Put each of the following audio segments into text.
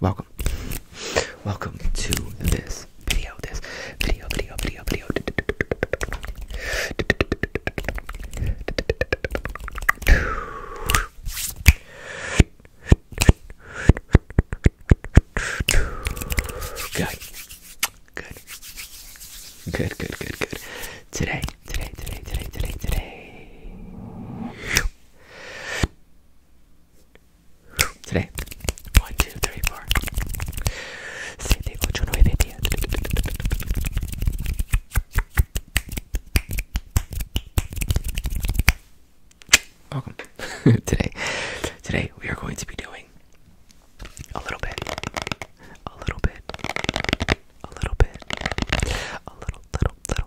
welcome welcome to this video this video video video video good good good good good good today today today today today today today. One, two, three, four. Siete, ocho, nueve, diez. Welcome. today, today we are going to be doing a little bit, a little bit, a little bit, a little, little, little,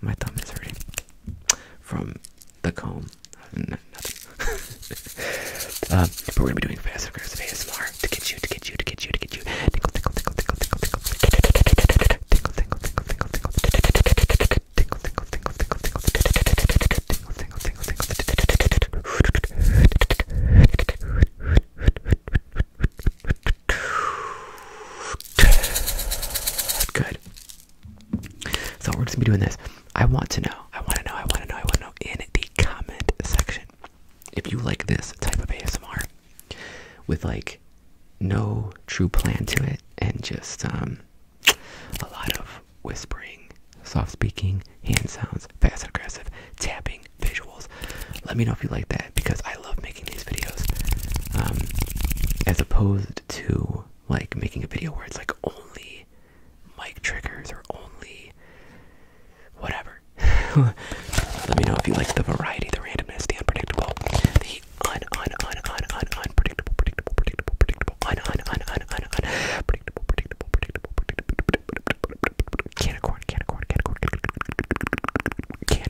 my thumb is hurting from the comb. nothing. we're gonna be doing fast aggressive ASMR to get you, to get you, to get you, to get you. Tinkle, tinkle, tinkle, tinkle, tinkle, tinkle, tinkle, tinkle, tinkle, tinkle, tinkle, tinkle, tinkle, tinkle, tinkle, tinkle, tinkle, tinkle, tinkle, tinkle. Good. So we're just gonna be doing this. I want to know. I want to know. I want to know. I want to know in the comment section if you like this type of ASMR with like no true plan to it and just um a lot of whispering, soft speaking, hand sounds, fast and aggressive, tapping, visuals. Let me know if you like that because I love making these videos. Um as opposed to like making a video where it's like only mic triggers or only whatever. Let me know if you like the variety, the randomness, the unpredictable, the un un un un un unpredictable, predictable, predictable, predictable, un un un un un un predictable, predictable, predictable, can of corn, can of corn, can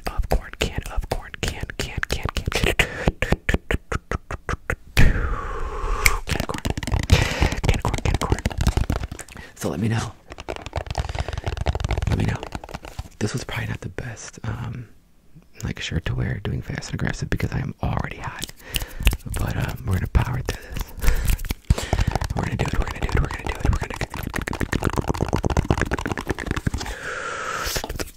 of corn, can of corn corn canned canned canned canned canned corn So let me know. Let me know. This was probably not the best um, like shirt to wear doing fast and aggressive because I am already hot. But um, we're gonna power through this. We're gonna do it, we're gonna do it, we're gonna do it, we're gonna did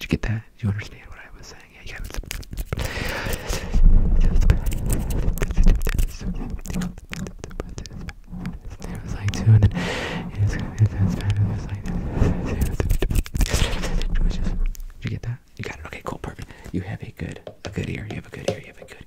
you get that? you understand what I was saying? you got it. It was like two, and then it was, it was It was like Did you get that? You got it. Okay, cool, perfect. You have a good, a good ear. You have a good ear. You have a good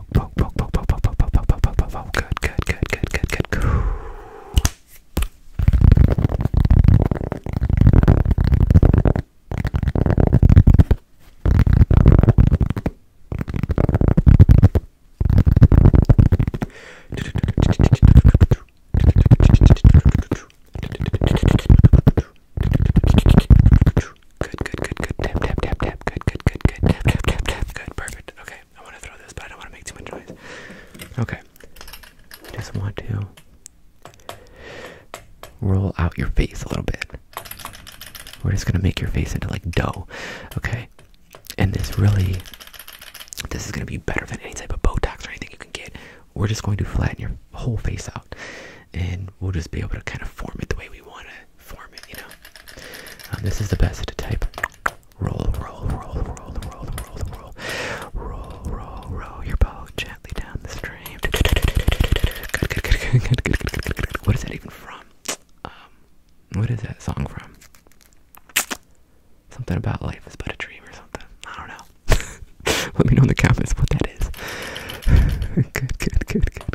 poke, poke, poke, poke, poke, poke, poke, poke, poke, poke, poke. Good, good, good, good, good, good, good. Good, good, good, good. Tap, tap, tap, tap. Good, good, good, good. Tap, tap, tap, tap. Good, perfect. Okay. Okay, I want to throw this, but I don't want to make too much noise. Okay, just want to roll out your face a little bit. We're just gonna make your face into like dough, okay? And this really, this is gonna be better than any type of Botox or anything you can get. We're just going to flatten your whole face out, and we'll just be able to kind of form it the way we want it form it, you know. this is the best to type. Roll, roll, roll, roll, roll, roll, roll, roll, roll, roll your boat gently down the stream. What is that even from? Um, what is that song from? Something about life is but a dream or something. I don't know. Let me know in the comments what that is. good, good, good, good,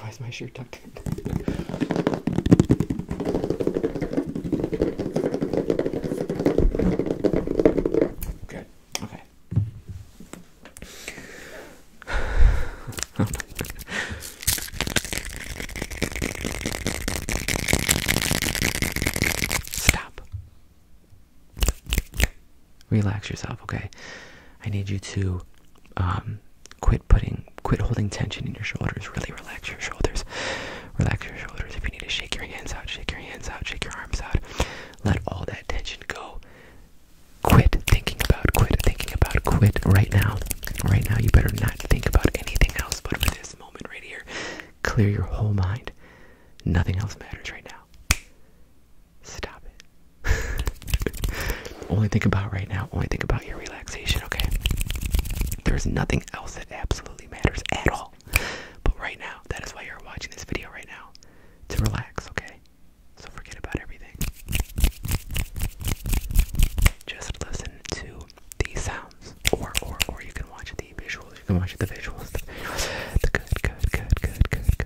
Why is my shirt tucked in? Good. Okay. Stop relax yourself, okay? I need you to um, quit putting, quit holding tension in your shoulders. Really relax your shoulders. Relax your shoulders. If you need to shake your hands out, shake your hands out, shake your arms out. Let all that tension go. Quit thinking about, quit thinking about, quit right now. Right now, you better not think about anything else but for this moment right here. Clear your whole mind. Nothing else matters right now now. Stop it. Only think about right now. Only think about your relaxation, okay? There's nothing else that absolutely matters at all. But right now, that is why you're watching this video right now. To relax, okay? So forget about everything. Just listen to these sounds. Or or or you can watch the visuals. You can watch the visuals. The, visuals. the good, good, good, good, good,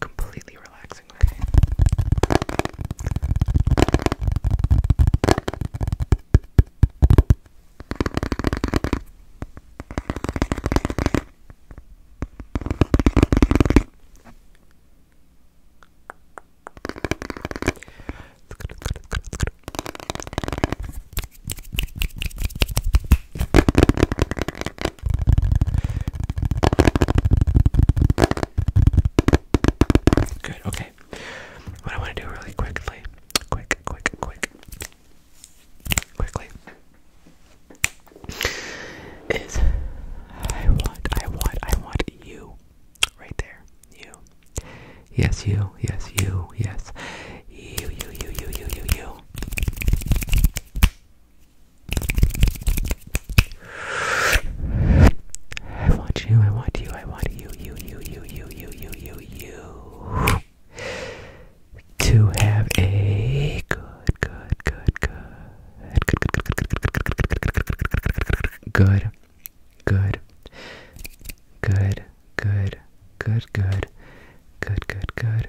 completely relaxing, okay? Good, okay. What I want to do really quickly, quick, quick, quick, quickly, is I want, I want, I want you right there. You. Yes, you, yes, you, yes. You, you, you, you, you, you, you. I want you, I want you, I want you, you, you, you, you, you, you, you, you to have a good, good, good, good, good, good, good, good, good, good, good, good, good, good,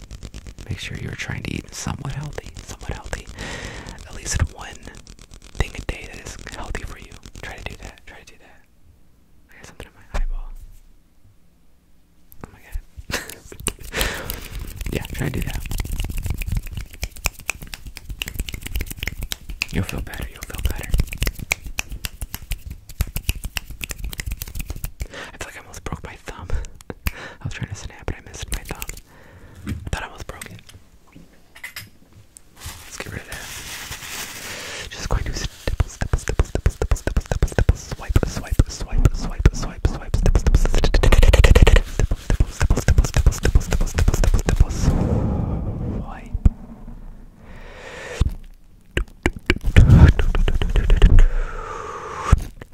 Make sure you're trying to eat somewhat healthy, somewhat healthy. At least one thing a day that is healthy for you. Try to do that. Try to do that. I got something in my eyeball. Oh my god. yeah, try to do that. You'll feel better. You'll feel better. I feel like I almost broke my thumb. I was trying to snap but I missed my thumb. I thought I was broken. Let's get rid of that. Just going to stipple, stipple, stipple, stipple, stipple, stipple, stipple, stipple, swipe, swipe, swipe, swipe, swipe, swipe, stipple, stipple, stipple, stipple, stipple, stipple, stipple, stipple, stipple, swipe.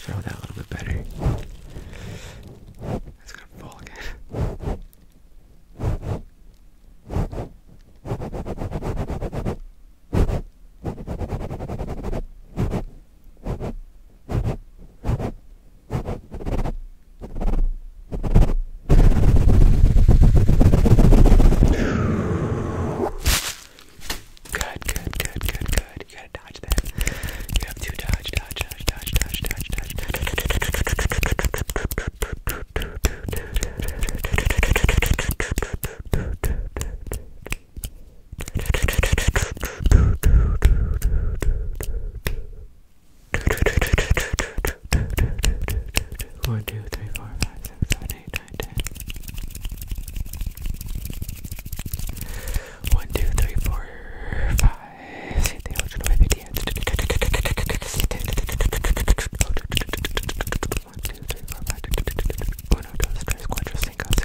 Show that a little bit better. That's gonna fall again. Good, good, good, good, good. You gotta dodge that. You have to dodge, dodge, dodge, dodge, dodge, dodge, dodge, dodge. One, two, three, four, five, six, seven, eight, nine, ten. One, two, three, four, five. See the ocean with the end. One, two, three, four, five. Uno, dos, tres, cuatro, cinco,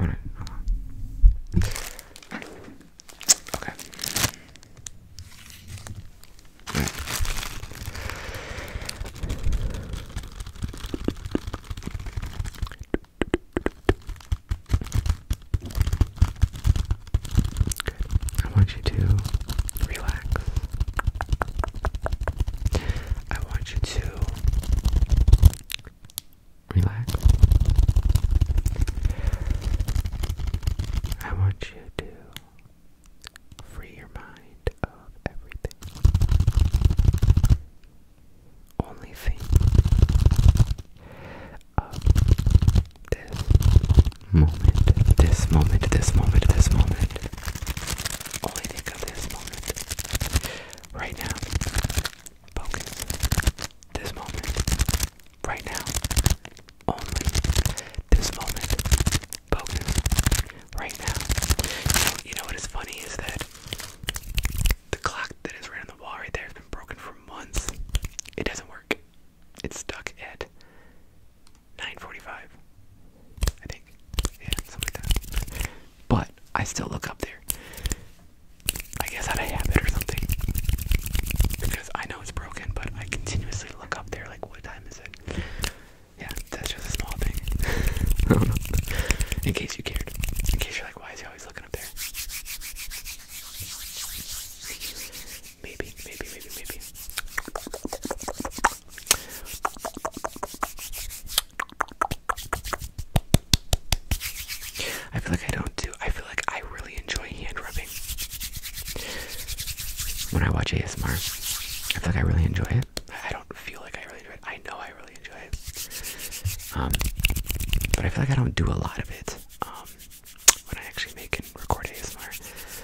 All right, hold on. Okay. I want you to relax. I want you to relax. I want you to free your mind of everything. Only thing of this moment, this moment, this moment, this moment only think of this moment. Right now. Focus. This moment. Right now. Only this moment. Focus. Right now. You know, you know what is funny is that the clock that is right on the wall right there has been broken for months. It doesn't work. It's stuck at 9:45, I think. Yeah, something like that. But I still look up there. I guess out of habit or something, because I know it's broken, but I continuously look up there. Like, what time is it? Yeah, that's just a small thing. in case you cared, in case you're like, why is he always looking up there? Maybe, maybe, maybe, maybe. I feel like I don't do. I feel like I really enjoy hand rubbing. When I watch ASMR, I feel like I really enjoy it. I don't feel like I really enjoy it. I know I really enjoy it. Um, but I feel like I don't do a lot of it um, when I actually make and record ASMR.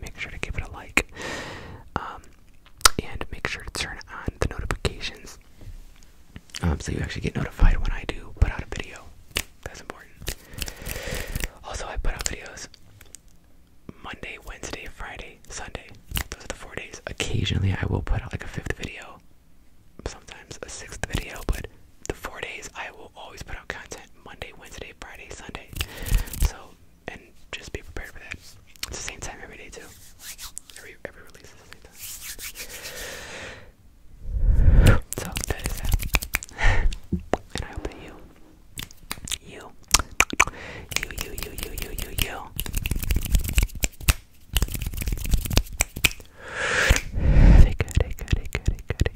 make sure to give it a like um, and make sure to turn on the notifications um, so you actually get notified when I do put out a video. That's important. Also, I put out videos Monday, Wednesday, Friday, Sunday. Those are the four days. Occasionally, I will put out like a fifth video, sometimes a sixth video, but the four days I will always put out content Monday, Wednesday, Friday, Sunday. So, and just be prepared for that. It's the same time every day, too. Every, every release is the same time. So, that is that. and I hope you, you, you, you, you, you, you, you, you. Take good, take good,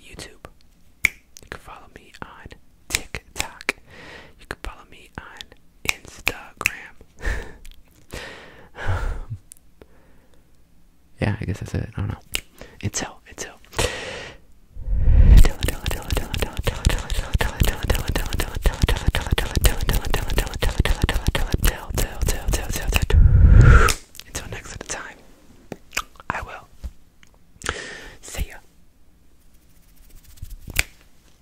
YouTube. You can follow me on TikTok. You can follow me on Instagram. yeah, I guess that's it. I don't know. Until, until. Until next time. I will. See ya.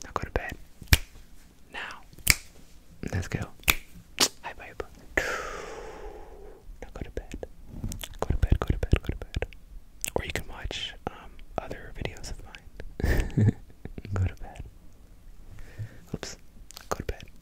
Now go to bed. Now. Let's go. Hi, babe. Now go to bed. Go to bed, go to bed, go to bed. Or you can watch um, other videos of mine. go to bed. Oops. Go to bed.